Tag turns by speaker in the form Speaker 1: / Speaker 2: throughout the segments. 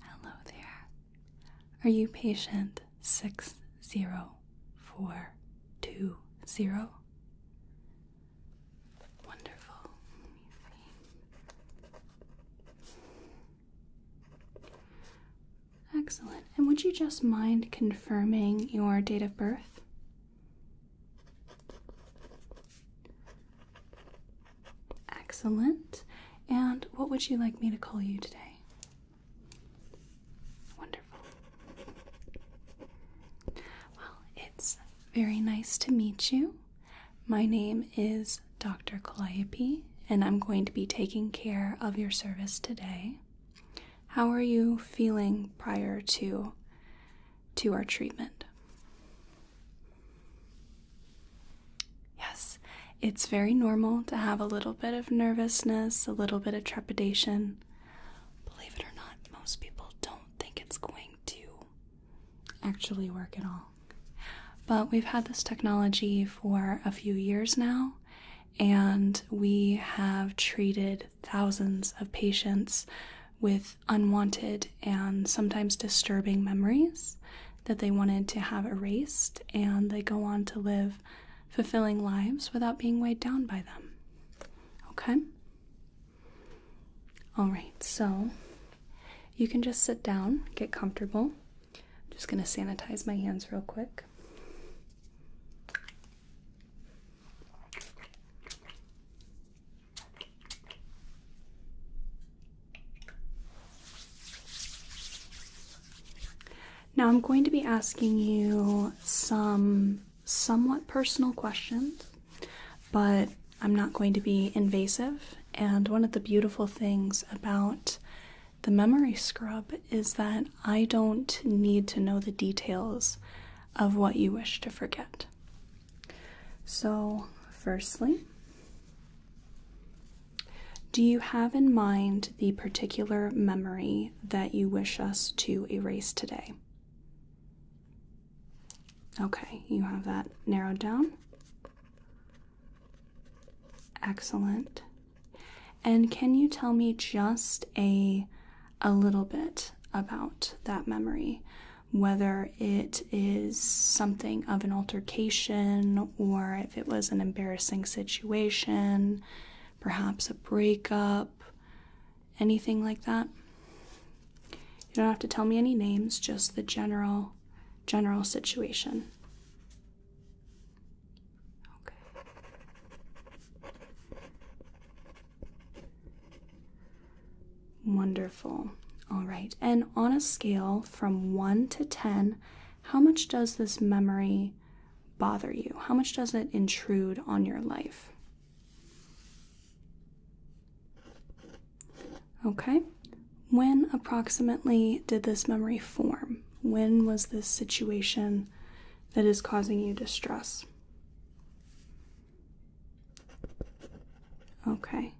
Speaker 1: Hello there. Are you patient 60420? Wonderful. Excellent. And would you just mind confirming your date of birth? Excellent. And what would you like me to call you today? Wonderful. Well, it's very nice to meet you. My name is Dr. Calliope, and I'm going to be taking care of your service today. How are you feeling prior to to our treatment? Yes, it's very normal to have a little bit of nervousness, a little bit of trepidation. Believe it or not, most people don't think it's going to actually work at all. But we've had this technology for a few years now, and we have treated thousands of patients with unwanted and sometimes disturbing memories that they wanted to have erased, and they go on to live fulfilling lives without being weighed down by them. Okay? Alright, so you can just sit down, get comfortable. I'm just going to sanitize my hands real quick. Now, I'm going to be asking you some somewhat personal questions, but I'm not going to be invasive. And one of the beautiful things about the memory scrub is that I don't need to know the details of what you wish to forget. So, firstly, do you have in mind the particular memory that you wish us to erase today? Okay, you have that narrowed down. Excellent. And can you tell me just a a little bit about that memory, whether it is something of an altercation or if it was an embarrassing situation, perhaps a breakup, anything like that. You don't have to tell me any names, just the general general situation. Okay. Wonderful. All right. And on a scale from 1 to 10, how much does this memory bother you? How much does it intrude on your life? Okay, when approximately did this memory form? When was this situation that is causing you distress? Okay.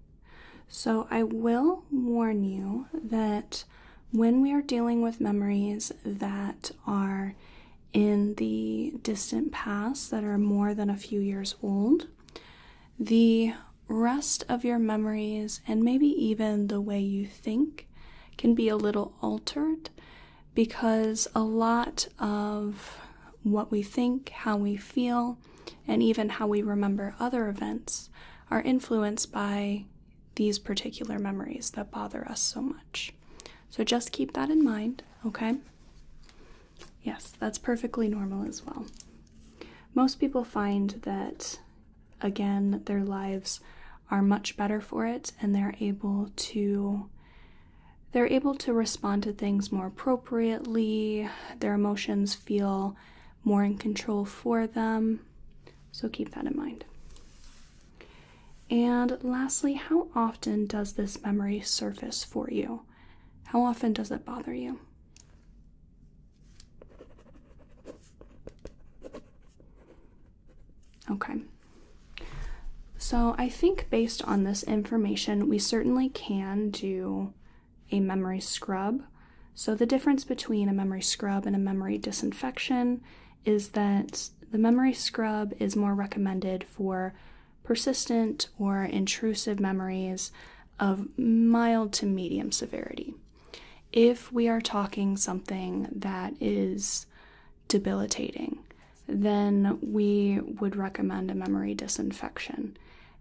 Speaker 1: So I will warn you that when we are dealing with memories that are in the distant past that are more than a few years old, the rest of your memories and maybe even the way you think can be a little altered because a lot of what we think, how we feel, and even how we remember other events are influenced by these particular memories that bother us so much. So just keep that in mind, okay? Yes, that's perfectly normal as well. Most people find that, again, their lives are much better for it and they're able to they're able to respond to things more appropriately their emotions feel more in control for them. So keep that in mind. And lastly, how often does this memory surface for you? How often does it bother you? Okay. So I think based on this information, we certainly can do a memory scrub. So, the difference between a memory scrub and a memory disinfection is that the memory scrub is more recommended for persistent or intrusive memories of mild to medium severity. If we are talking something that is debilitating, then we would recommend a memory disinfection.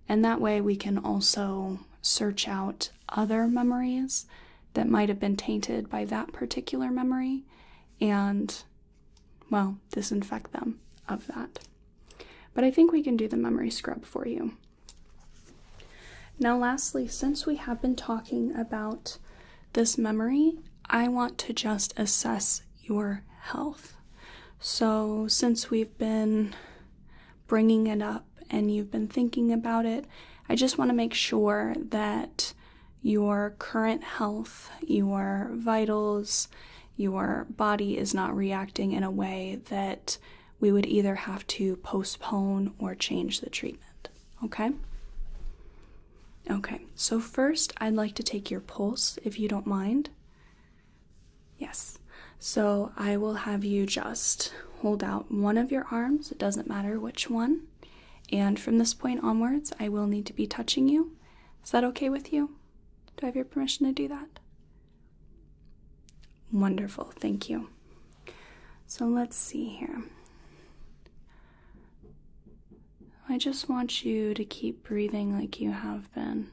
Speaker 1: And that way we can also search out other memories that might have been tainted by that particular memory and, well, disinfect them of that. But I think we can do the memory scrub for you. Now, lastly, since we have been talking about this memory, I want to just assess your health. So, since we've been bringing it up and you've been thinking about it, I just want to make sure that your current health, your vitals, your body is not reacting in a way that we would either have to postpone or change the treatment. Okay? Okay, so first I'd like to take your pulse if you don't mind. Yes. So I will have you just hold out one of your arms, it doesn't matter which one. And from this point onwards, I will need to be touching you. Is that okay with you? Do I have your permission to do that? Wonderful, thank you. So let's see here. I just want you to keep breathing like you have been.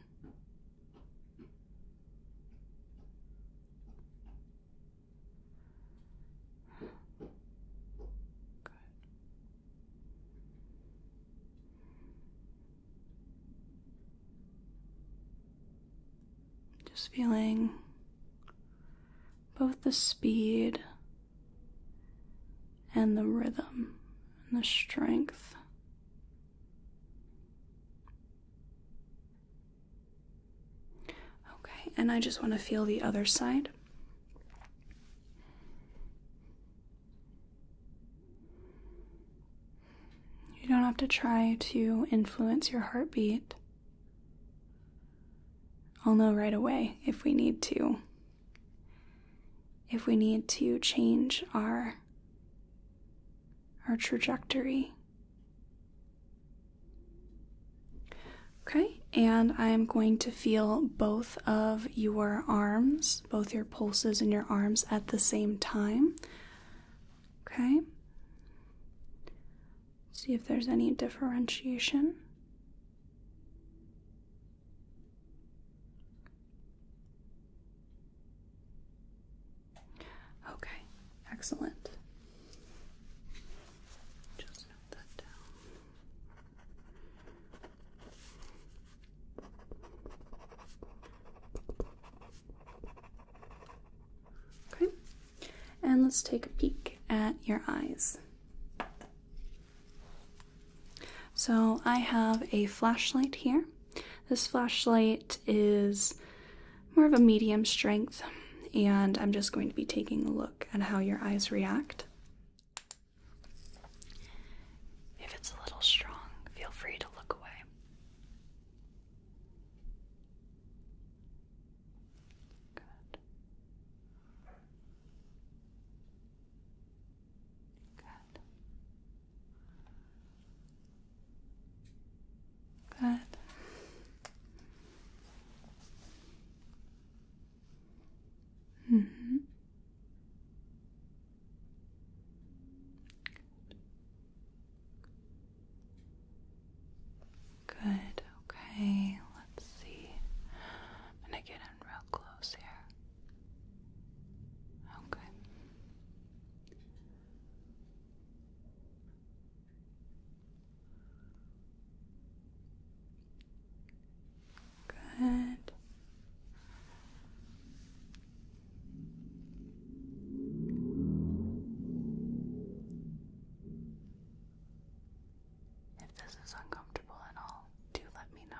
Speaker 1: Just feeling both the speed and the rhythm and the strength Okay, and I just want to feel the other side. You don't have to try to influence your heartbeat. I'll know right away if we need to. If we need to change our our trajectory. Okay, and I am going to feel both of your arms, both your pulses and your arms at the same time. Okay, see if there's any differentiation. Okay, excellent. Just note that down. Okay, and let's take a peek at your eyes. So I have a flashlight here. This flashlight is more of a medium strength, and I'm just going to be taking a look at how your eyes react. If it's a little strong, feel free to look away. Good. Good. Good. hmm. Good. Okay. Let's see. I'm gonna get in real close here. Okay. Good. If this is uncomfortable at all, do let me know.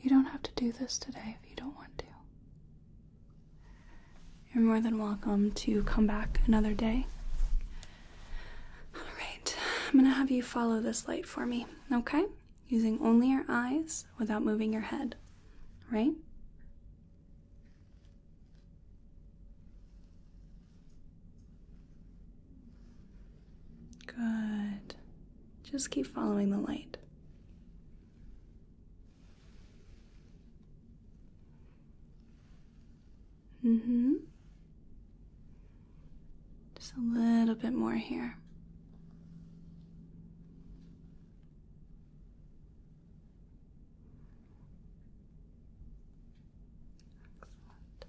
Speaker 1: You don't have to do this today if you don't want to. You're more than welcome to come back another day. Alright, I'm gonna have you follow this light for me, okay? Using only your eyes without moving your head, right? Good. Just keep following the light. Mm hmm. Just a little bit more here. Excellent.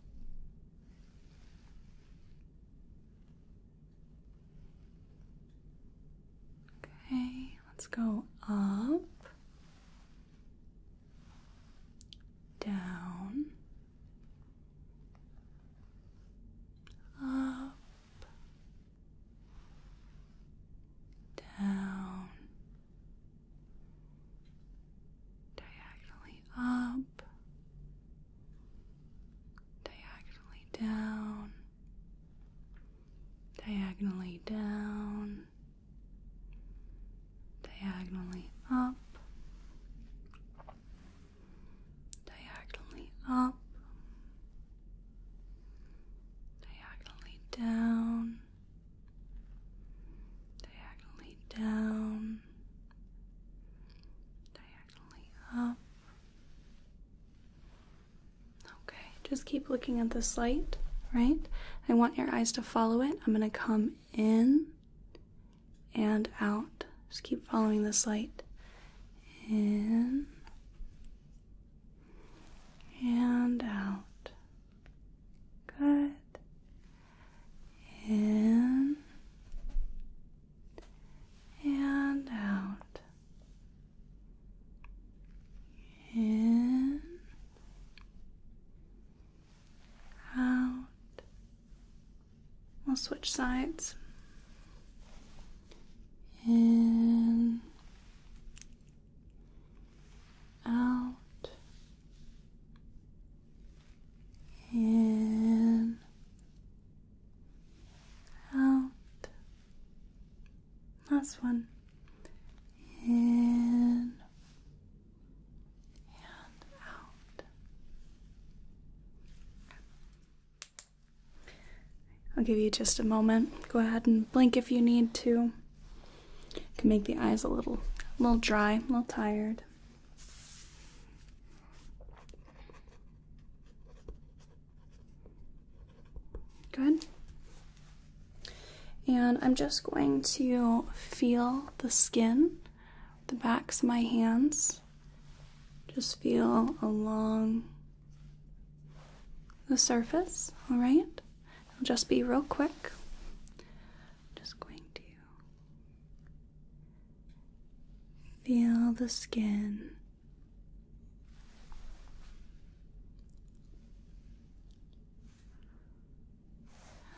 Speaker 1: Okay, let's go up, down, up, down, diagonally up, diagonally down diagonally down, diagonally up, diagonally up, diagonally down, diagonally down, diagonally up, Okay, just keep looking at this light, right? I want your eyes to follow it. I'm going to come in and out. Just keep following this light. In and out. Good. In and out in out. We'll switch sides. In out. In out last one. In and out. I'll give you just a moment. Go ahead and blink if you need to. can make the eyes a little a little dry, a little tired. Good. And I'm just going to feel the skin, the backs of my hands. Just feel along the surface, all right? It'll just be real quick. Just going to feel the skin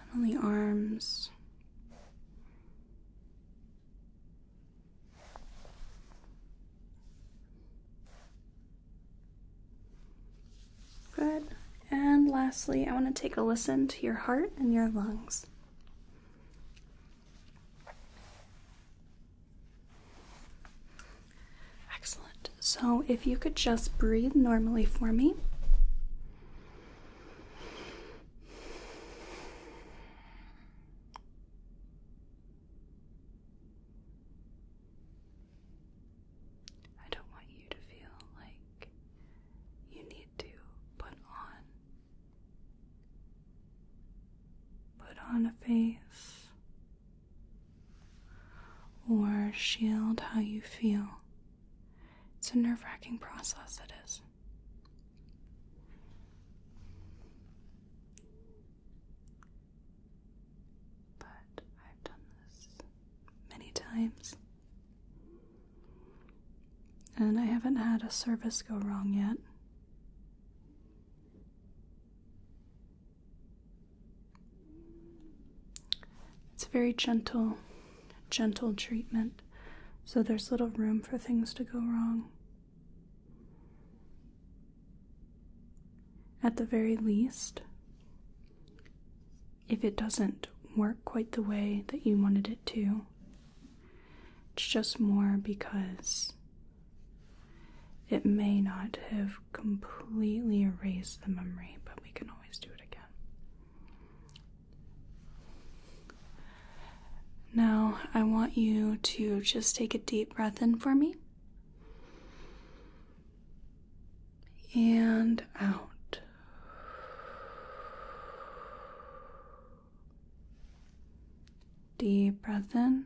Speaker 1: not only arms. Good. And lastly, I want to take a listen to your heart and your lungs. Excellent. So, if you could just breathe normally for me. I don't want you to feel like you need to put on put on a face or shield how you feel. It's a nerve wracking process, it is. But I've done this many times. And I haven't had a service go wrong yet. It's a very gentle, gentle treatment, so there's little room for things to go wrong. At the very least, if it doesn't work quite the way that you wanted it to, it's just more because it may not have completely erased the memory, but we can always do it again. Now, I want you to just take a deep breath in for me and out. Deep breath in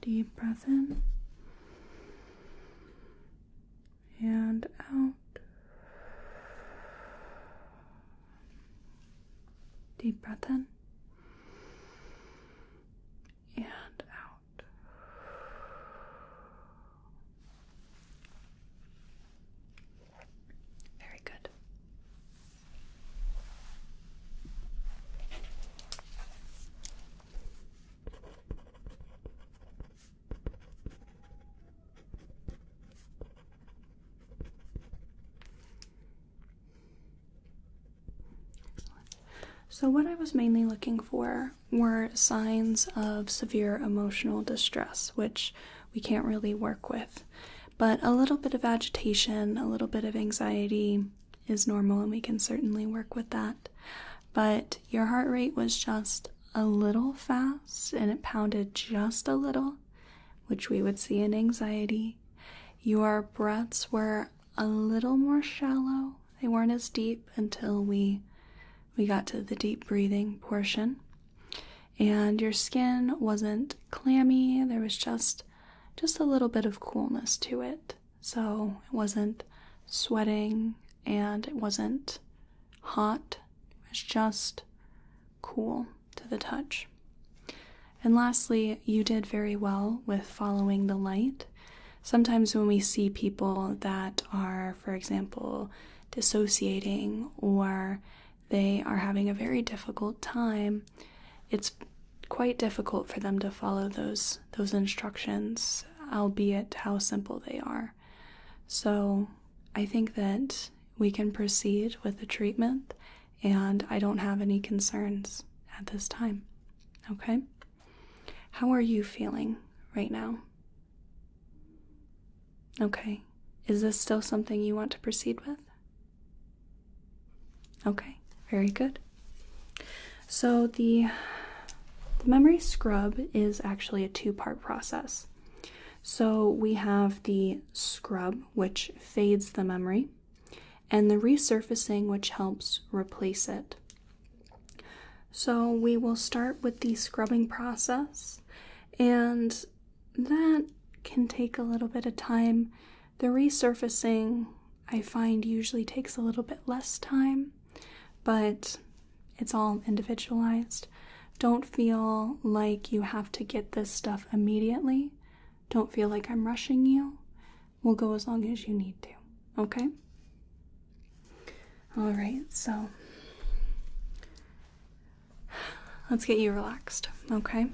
Speaker 1: Deep breath in and out. Deep breath in and out. Very good. So, what I was mainly looking for were signs of severe emotional distress, which we can't really work with, but a little bit of agitation, a little bit of anxiety, is normal and we can certainly work with that. But your heart rate was just a little fast and it pounded just a little, which we would see in anxiety. Your breaths were a little more shallow. They weren't as deep until we we got to the deep breathing portion. And your skin wasn't clammy. There was just just a little bit of coolness to it. So it wasn't sweating and it wasn't hot, it was just cool to the touch. And lastly, you did very well with following the light. Sometimes, when we see people that are, for example, dissociating or they are having a very difficult time, it's quite difficult for them to follow those those instructions, albeit how simple they are. So I think that we can proceed with the treatment, and I don't have any concerns at this time. Okay? How are you feeling right now? Okay. Is this still something you want to proceed with? Okay, very good. So the, memory scrub is actually a two-part process. So we have the scrub, which fades the memory, and the resurfacing, which helps replace it. So we will start with the scrubbing process, and that can take a little bit of time the resurfacing I find usually takes a little bit less time, but it's all individualized. Don't feel like you have to get this stuff immediately. Don't feel like I'm rushing you. We'll go as long as you need to, okay? All right, so let's get you relaxed okay?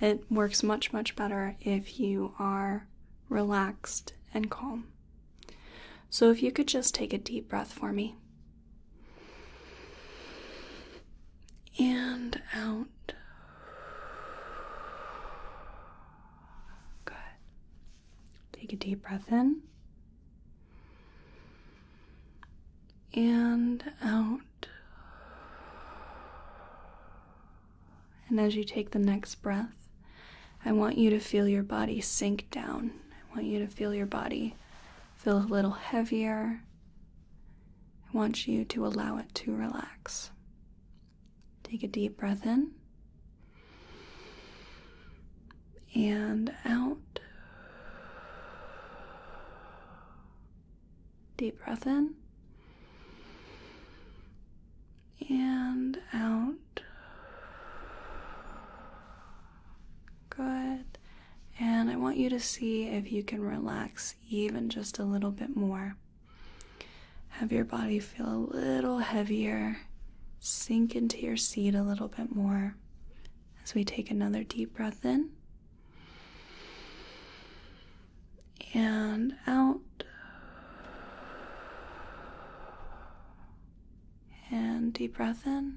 Speaker 1: It works much, much better if you are relaxed and calm. So, if you could just take a deep breath for me. And out. Good. Take a deep breath in. And out. And as you take the next breath, I want you to feel your body sink down. I want you to feel your body feel a little heavier. I want you to allow it to relax. Take a deep breath in and out. Deep breath in and out. Good. And I want you to see if you can relax even just a little bit more. Have your body feel a little heavier. Sink into your seat a little bit more as we take another deep breath in and out and deep breath in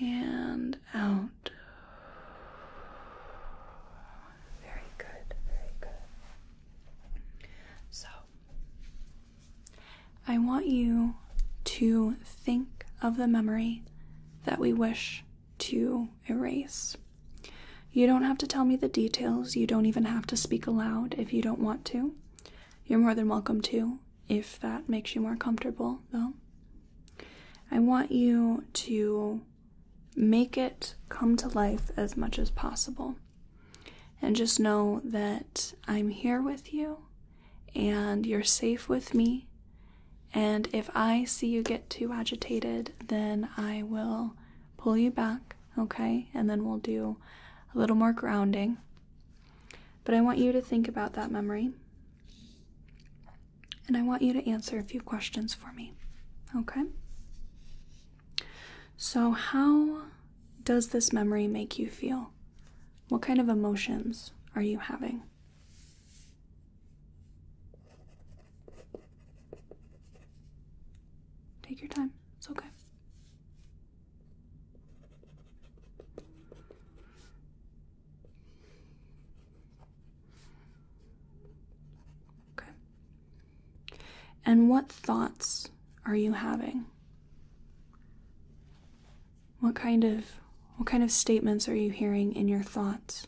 Speaker 1: and out. Very good, very good. So, I want you to think of the memory that we wish to erase. You don't have to tell me the details. You don't even have to speak aloud if you don't want to. You're more than welcome to, if that makes you more comfortable, though. I want you to make it come to life as much as possible. And just know that I'm here with you and you're safe with me and if I see you get too agitated, then I will pull you back, okay? And then we'll do a little more grounding. But I want you to think about that memory. And I want you to answer a few questions for me, okay? So, how does this memory make you feel? What kind of emotions are you having? Take your time. It's okay. Okay. And what thoughts are you having? What kind of what kind of statements are you hearing in your thoughts?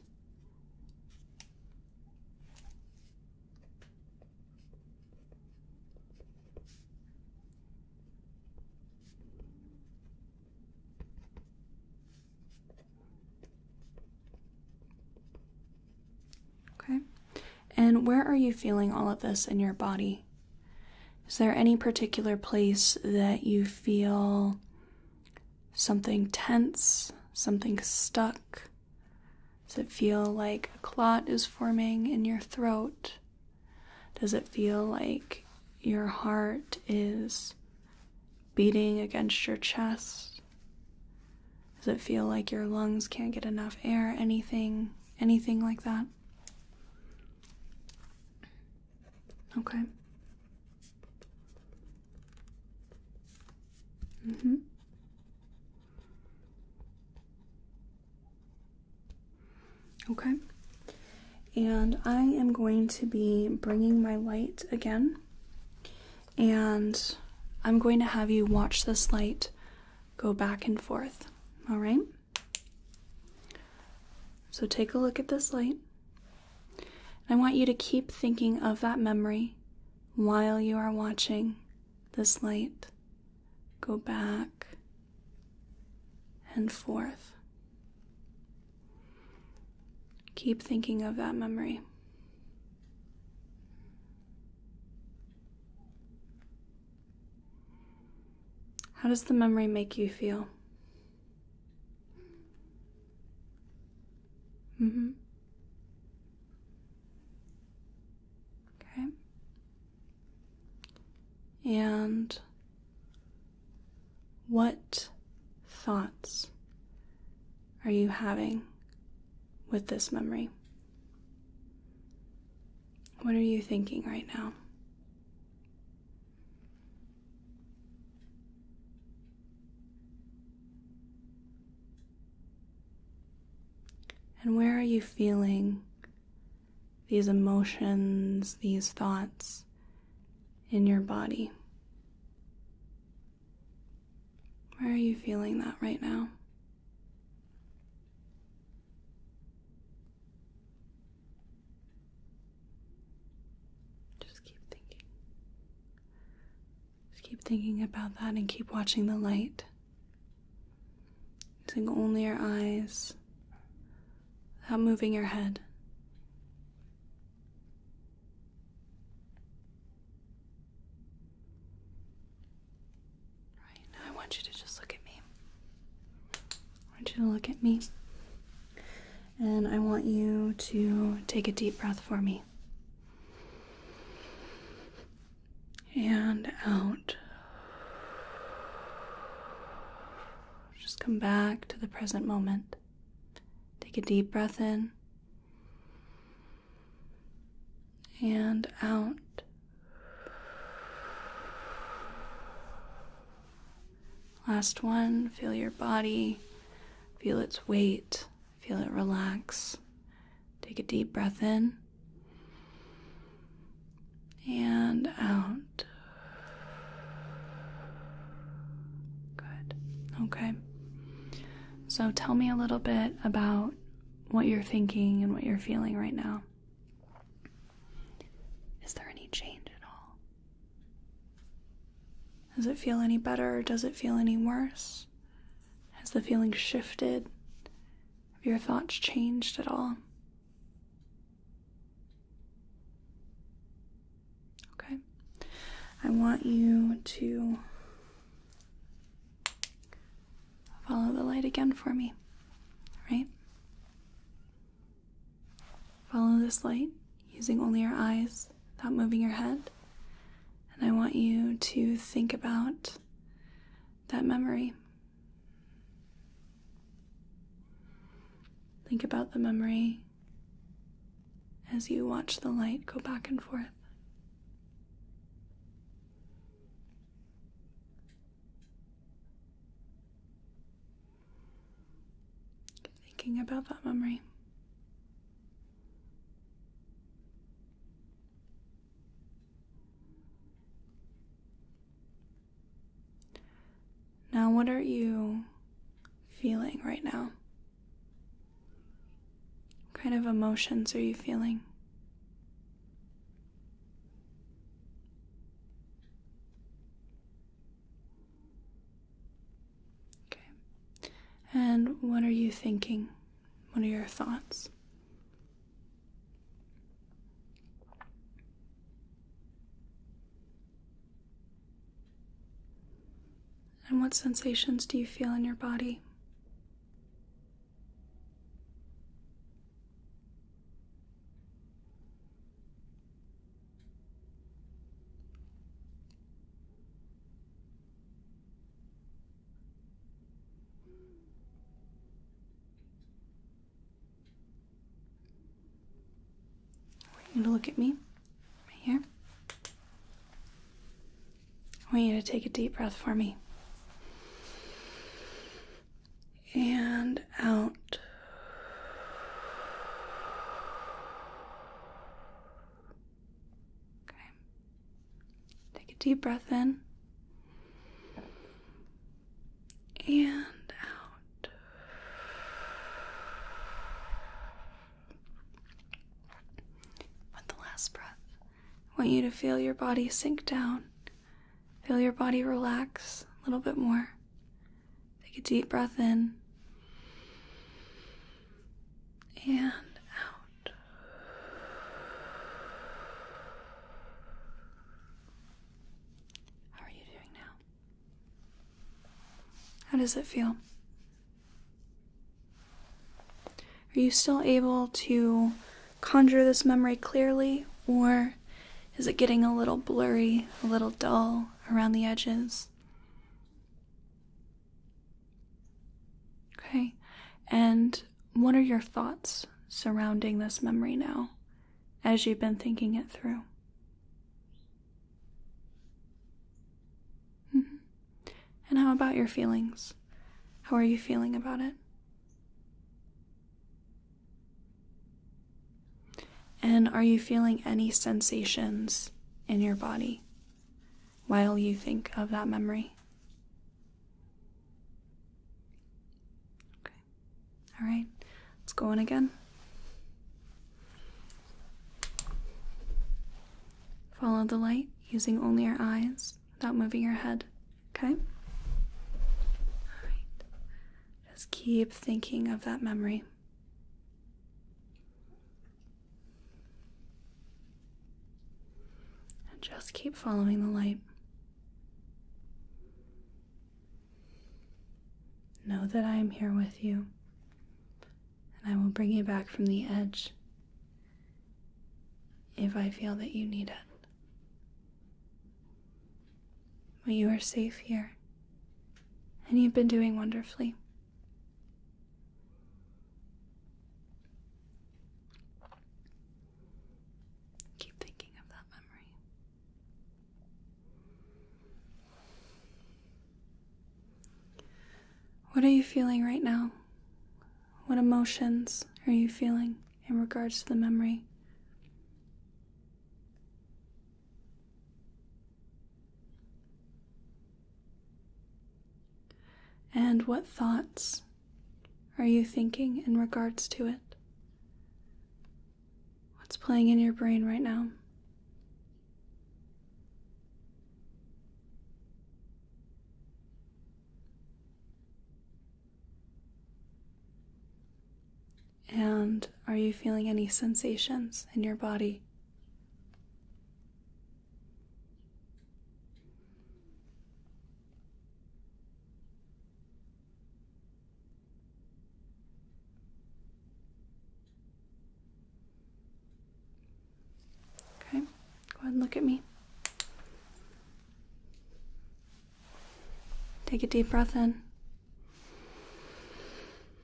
Speaker 1: Okay. And where are you feeling all of this in your body? Is there any particular place that you feel something tense, something stuck? Does it feel like a clot is forming in your throat? Does it feel like your heart is beating against your chest? Does it feel like your lungs can't get enough air? Anything, anything like that? Okay. Mm-hmm. Okay. And I am going to be bringing my light again. And I'm going to have you watch this light go back and forth. All right? So take a look at this light. I want you to keep thinking of that memory while you are watching this light go back and forth. Keep thinking of that memory. How does the memory make you feel? Mm hmm. Okay. And what thoughts are you having with this memory? What are you thinking right now? And where are you feeling these emotions, these thoughts in your body? Where are you feeling that right now? Just keep thinking. Just keep thinking about that and keep watching the light. Using only your eyes without moving your head. Right, now I want you to just look at me. I want you to look at me and I want you to take a deep breath for me. And out. Just come back to the present moment. Take a deep breath in. And out. Last one, feel your body, feel its weight, feel it relax. Take a deep breath in and out. Good. Okay. So tell me a little bit about what you're thinking and what you're feeling right now. Is there any change at all? Does it feel any better or does it feel any worse? Has the feeling shifted? Have your thoughts changed at all? Okay. I want you to follow the light again for me, all right? Follow this light using only your eyes without moving your head. And I want you to think about that memory. Think about the memory as you watch the light go back and forth. Thinking about that memory. Now, what are you feeling right now? What kind of emotions are you feeling? Okay. And what are you thinking? What are your thoughts? And what sensations do you feel in your body? I want you to look at me right here. I want you to take a deep breath for me. And out. Okay. Take a deep breath in and out. With the last breath, I want you to feel your body sink down. Feel your body relax a little bit more. Take a deep breath in and out. How are you doing now? How does it feel? Are you still able to conjure this memory clearly, or is it getting a little blurry, a little dull around the edges? Okay, and what are your thoughts surrounding this memory now as you've been thinking it through? Mm-hmm. And how about your feelings? How are you feeling about it? And are you feeling any sensations in your body while you think of that memory? Okay. All right. Let's go in again. Follow the light using only your eyes without moving your head. Okay? Alright. Just keep thinking of that memory. And just keep following the light. Know that I am here with you, and I will bring you back from the edge if I feel that you need it. But you are safe here, and you've been doing wonderfully. Keep thinking of that memory. What are you feeling right now? What emotions are you feeling in regards to the memory? And what thoughts are you thinking in regards to it? What's playing in your brain right now? And are you feeling any sensations in your body? Okay, go ahead and look at me. Take a deep breath in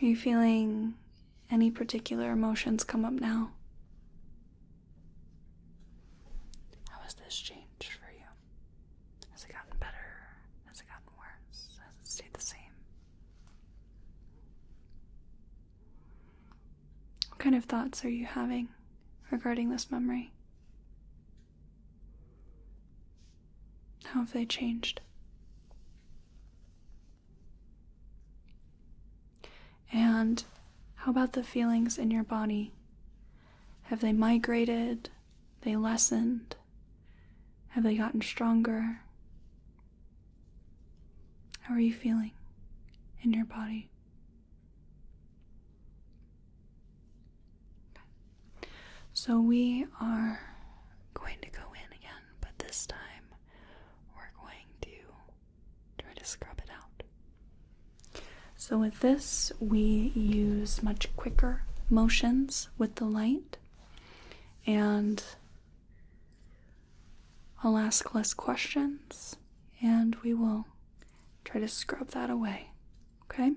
Speaker 1: Are you feeling any particular emotions come up now? How has this changed for you? Has it gotten better? Has it gotten worse? Has it stayed the same? What kind of thoughts are you having regarding this memory? How have they changed? And how about the feelings in your body? Have they migrated? They lessened? Have they gotten stronger? How are you feeling in your body? So we are going to go in again, but this time we're going to try to scrub it out. So with this, we use much quicker motions with the light and I'll ask less questions and we will try to scrub that away. Okay?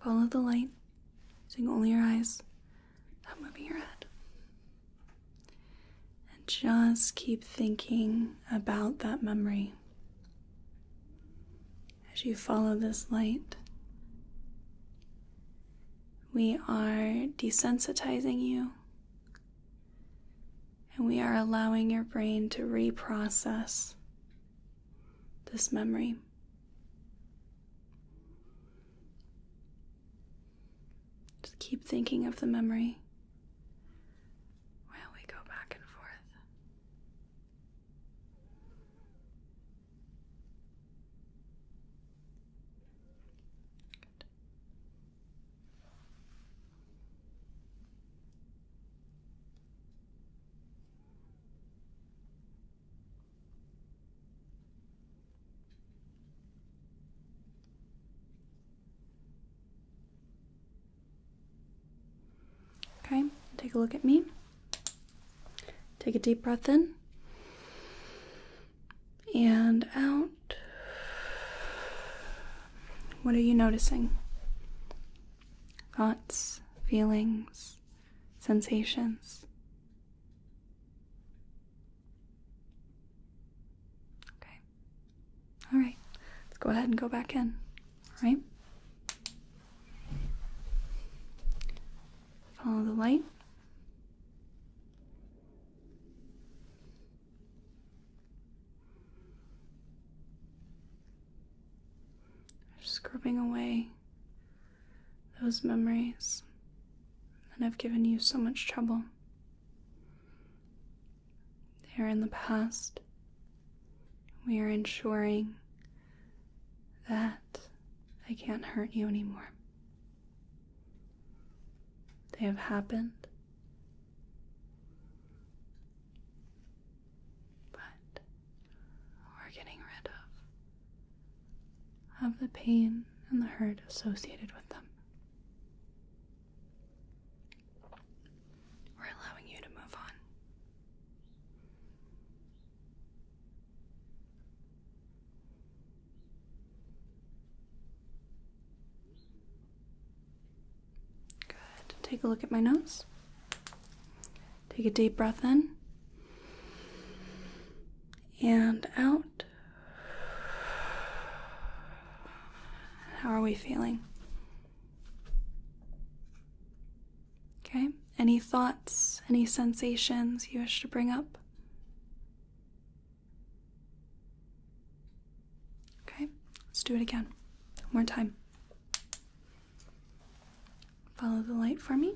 Speaker 1: Follow the light, Seeing only your eyes, not moving your head. And just keep thinking about that memory. As you follow this light, we are desensitizing you and we are allowing your brain to reprocess this memory. Just keep thinking of the memory while we go back and forth. Okay, take a look at me. Take a deep breath in and out. What are you noticing? Thoughts, feelings, sensations. Okay. All right. Let's go ahead and go back in. All right. Follow the light. Scrubbing away those memories that have given you so much trouble. There, in the past. We are ensuring that I can't hurt you anymore. They have happened but we're getting rid of of the pain and the hurt associated with them. We're allowing you to move on. Good. Take a look at my nose. Take a deep breath in and out. How are we feeling? Okay. Any thoughts, any sensations you wish to bring up? Okay, let's do it again. One more time. Follow the light for me.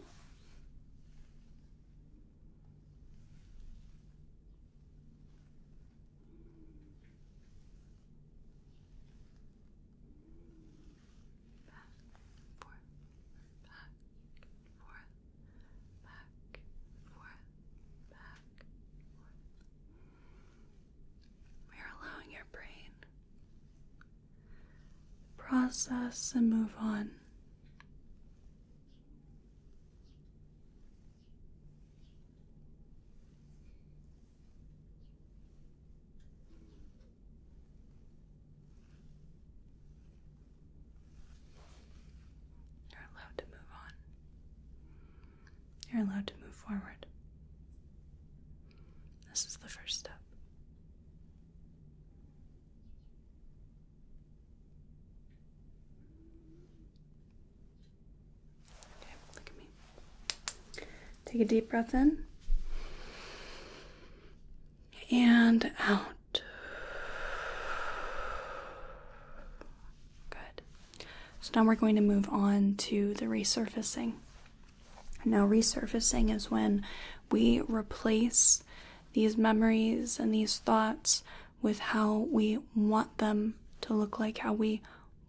Speaker 1: Back, forth, back, forth, back, forth, back, forth. We're allowing your brain process and move on. You're allowed to move on. You're allowed to move forward. This is the first step. Okay, look at me. Take a deep breath in and out. Good. So now we're going to move on to the resurfacing. Now, resurfacing is when we replace these memories and these thoughts with how we want them to look like, how we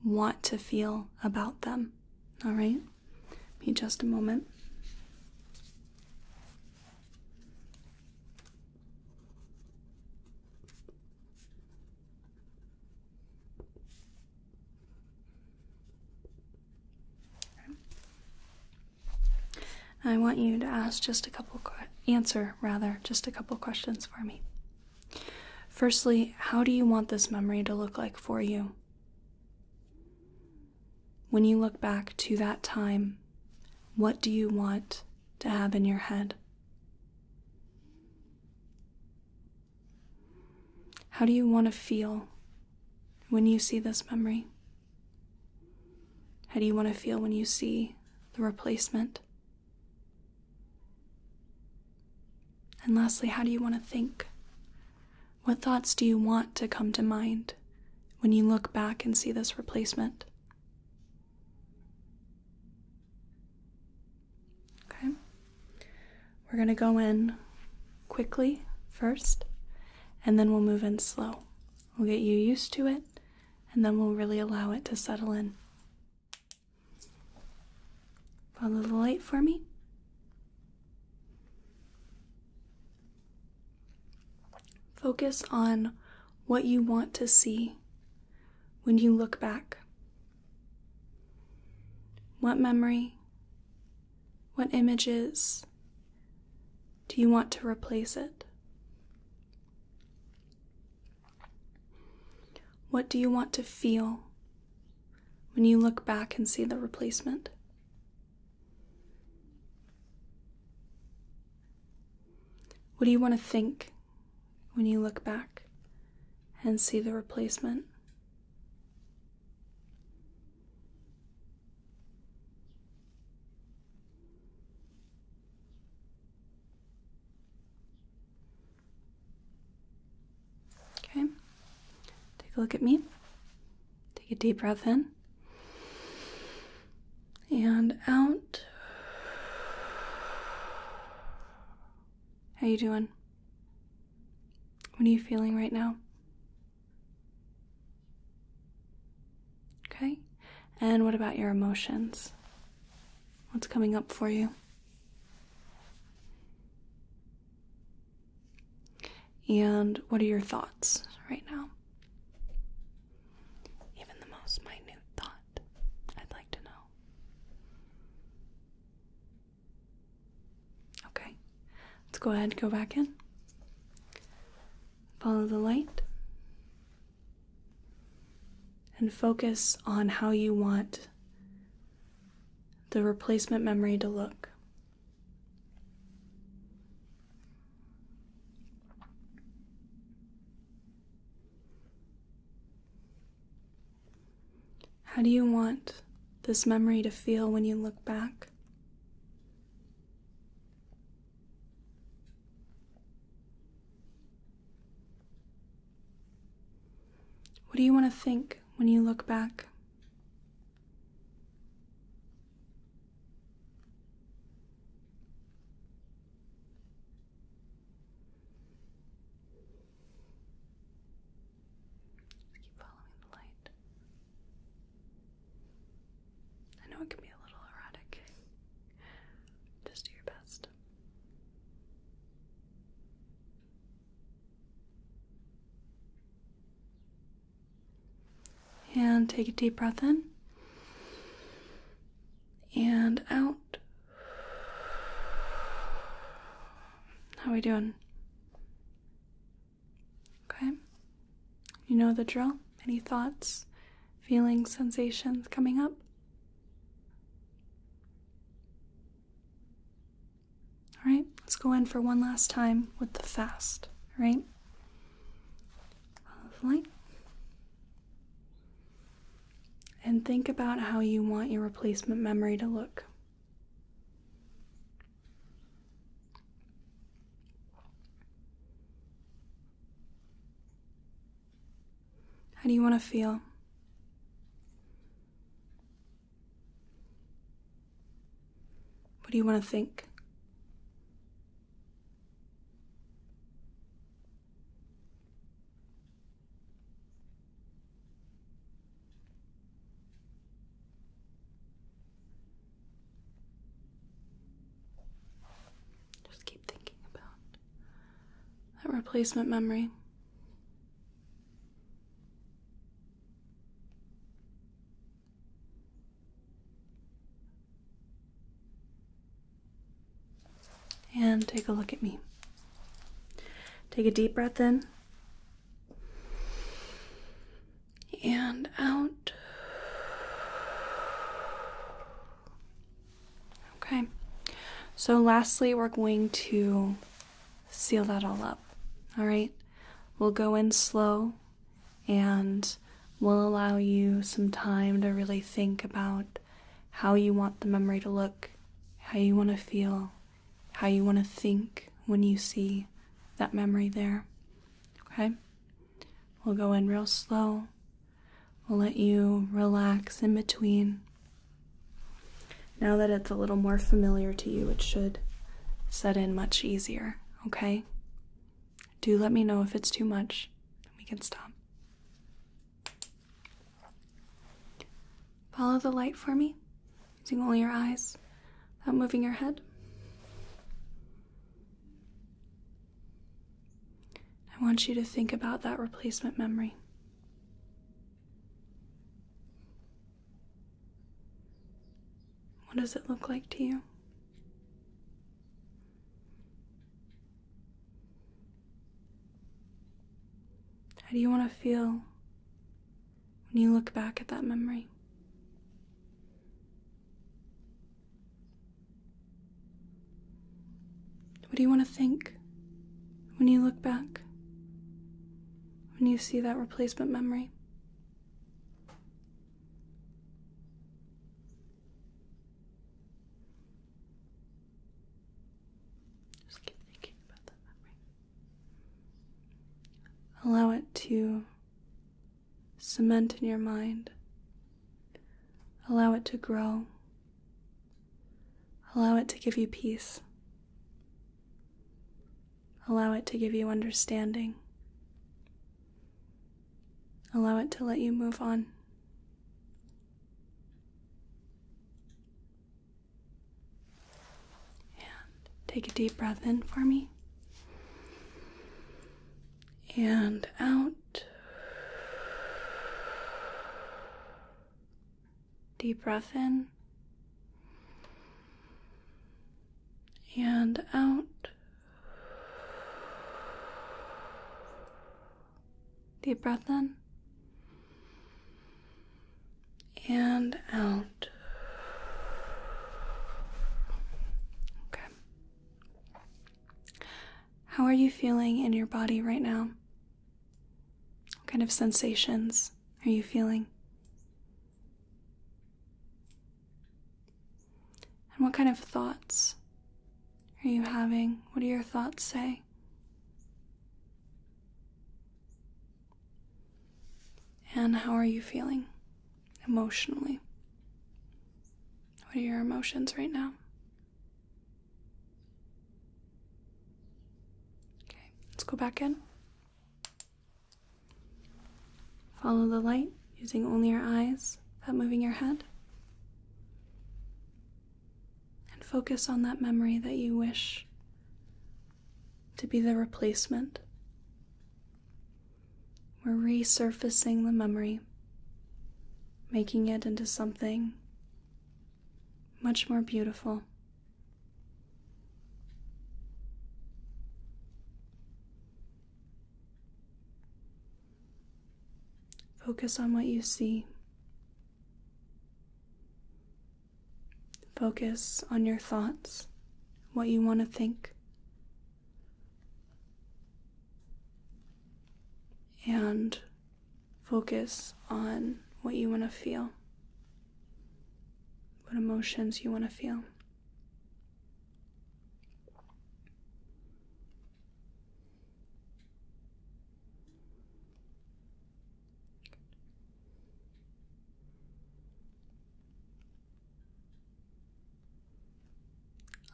Speaker 1: want to feel about them. All right? Be just a moment. I want you to ask just a couple, answer rather, just a couple questions for me. Firstly, how do you want this memory to look like for you? When you look back to that time, what do you want to have in your head? How do you want to feel when you see this memory? How do you want to feel when you see the replacement? And lastly, how do you want to think? What thoughts do you want to come to mind when you look back and see this replacement? Okay, we're going to go in quickly first, and then we'll move in slow. We'll get you used to it, and then we'll really allow it to settle in. Follow the light for me. Focus on what you want to see when you look back what memory, what images do you want to replace it? What do you want to feel when you look back and see the replacement? What do you want to think when you look back and see the replacement. Okay, take a look at me. Take a deep breath in and out. How you doing? What are you feeling right now? Okay. And what about your emotions? What's coming up for you? And what are your thoughts right now? Even the most minute thought, I'd like to know. Okay, let's go ahead and go back in. Follow the light and focus on how you want the replacement memory to look. How do you want this memory to feel when you look back? What do you want to think when you look back? Just keep following the light. I know it can be a little erratic. Just do your best. And take a deep breath in and out how we doing? Okay. You know the drill. Any thoughts, feelings, sensations coming up? All right, let's go in for one last time with the fast, all right? Lovely. And think about how you want your replacement memory to look. How do you want to feel? What do you want to think? Just keep thinking about that replacement memory and take a look at me. Take a deep breath in and out. Okay, so lastly, we're going to seal that all up. All right, we'll go in slow and we'll allow you some time to really think about how you want the memory to look, how you want to feel how you want to think when you see that memory there. Okay? We'll go in real slow. We'll let you relax in between. Now that it's a little more familiar to you, it should set in much easier, okay? Do let me know if it's too much. We can stop. Follow the light for me, using only your eyes without moving your head. I want you to think about that replacement memory. What does it look like to you? How do you want to feel when you look back at that memory? What do you want to think when you look back? When you see that replacement memory? Allow it to cement in your mind. Allow it to grow. Allow it to give you peace. Allow it to give you understanding. Allow it to let you move on. And take a deep breath in for me. And out. Deep breath in. And out. Deep breath in and out. Okay. How are you feeling in your body right now? What kind of sensations are you feeling? And what kind of thoughts are you having? What do your thoughts say? And how are you feeling emotionally? What are your emotions right now? Okay, let's go back in. Follow the light using only your eyes without moving your head and focus on that memory that you wish to be the replacement. We're resurfacing the memory, making it into something much more beautiful. Focus on what you see Focus on your thoughts, what you want to think. And focus on what you want to feel, what emotions you want to feel.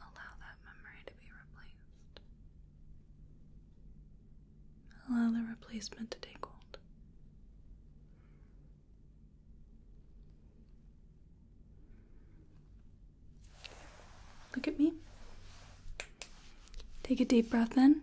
Speaker 1: Allow that memory to be replaced. Allow the replacement to take hold. Look at me. Take a deep breath in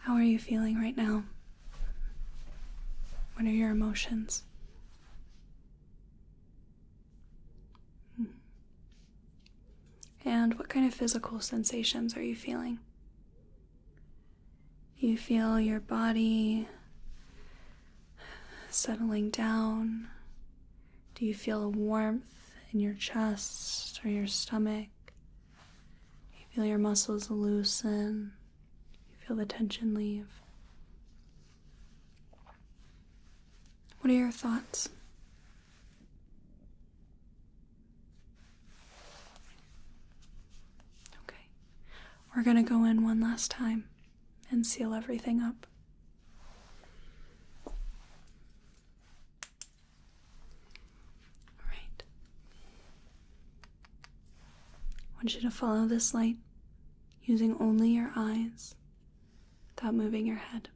Speaker 1: How are you feeling right now? What are your emotions? And what kind of physical sensations are you feeling? You feel your body settling down. Do you feel a warmth in your chest or your stomach? You feel your muscles loosen, you feel the tension leave. What are your thoughts? Okay, we're going to go in one last time and seal everything up. Alright. I want you to follow this light using only your eyes without moving your head.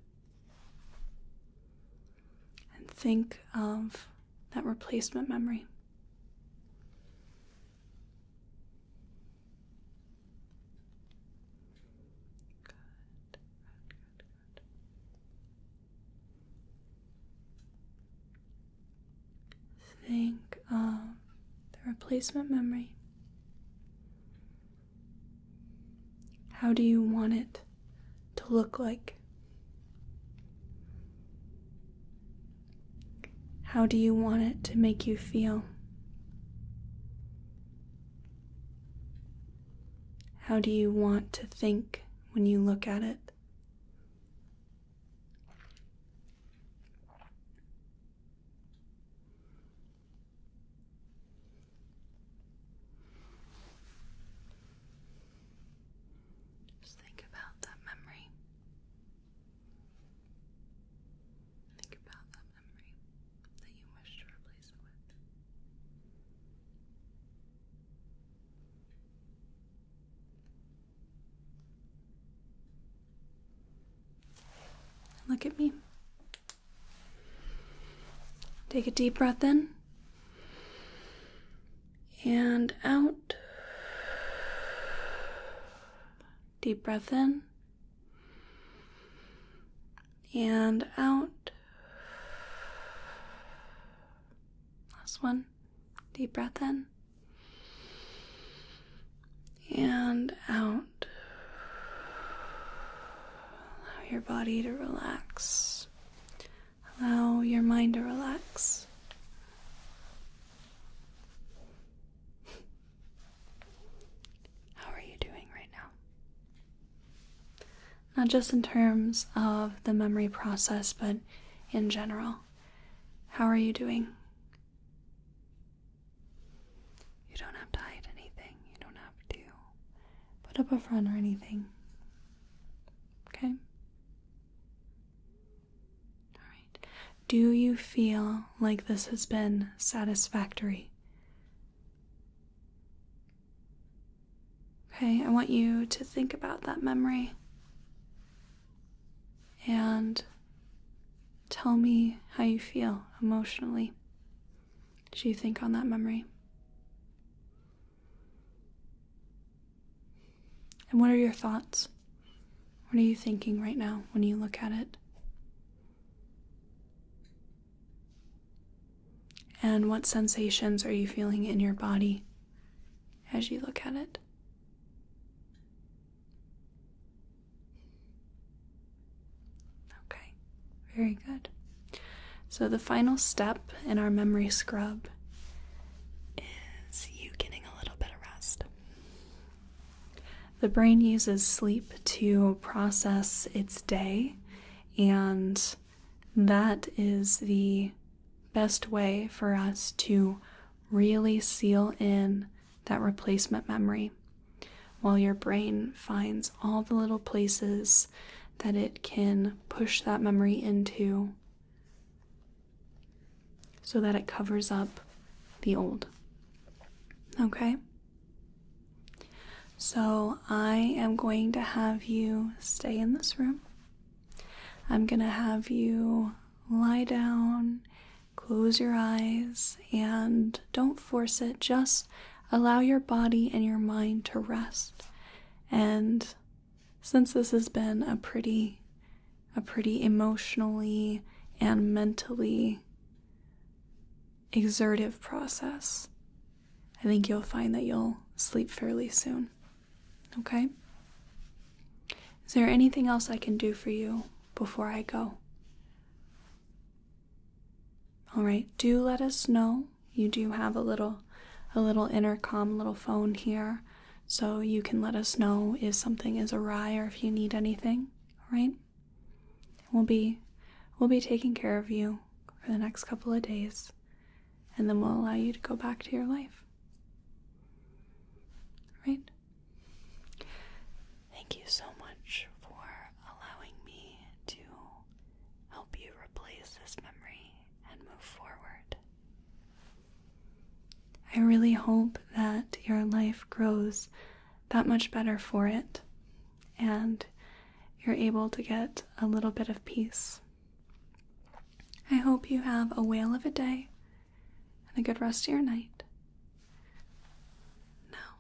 Speaker 1: And think of that replacement memory. Good, good, good, good. Think of the replacement memory. How do you want it to look like? How do you want it to make you feel? How do you want to think when you look at it. Just think about that memory. Think about that memory that you wish to replace it with. Look at me. Take a deep breath in and out. Deep breath in and out. Last one. Deep breath in and out. Allow your body to relax. Allow your mind to relax. How are you doing right now? not just in terms of the memory process, but in general. How are you doing? You don't have to hide anything, you don't have to put up a front or anything. Okay? Alright. Do you feel like this has been satisfactory? Okay, I want you to think about that memory and tell me how you feel emotionally Do you think on that memory. And what are your thoughts? What are you thinking right now when you look at it? And what sensations are you feeling in your body as you look at it? Okay, very good. So, the final step in our memory scrub is you getting a little bit of rest. The brain uses sleep to process its day and that is the best way for us to really seal in that replacement memory while your brain finds all the little places that it can push that memory into so that it covers up the old. Okay? So I am going to have you stay in this room. I'm going to have you lie down, close your eyes, and don't force it. Just allow your body and your mind to rest. And since this has been a pretty a pretty emotionally and mentally exertive process, I think you'll find that you'll sleep fairly soon. Okay? Is there anything else I can do for you before I go? All right, do let us know. You do have a little a little intercom, little phone here, so you can let us know if something is awry or if you need anything, all right? We'll be we'll be taking care of you for the next couple of days, and then we'll allow you to go back to your life. Right? Thank you so much for allowing me to help you replace this memory and move forward. I really hope that your life grows that much better for it and you're able to get a little bit of peace I hope you have a whale of a day and a good rest of your night. Now,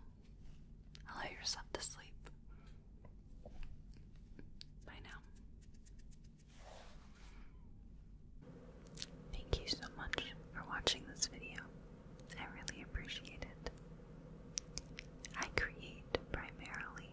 Speaker 1: allow yourself to sleep. Bye now. Thank you so much for watching this video. I really appreciate it. I create primarily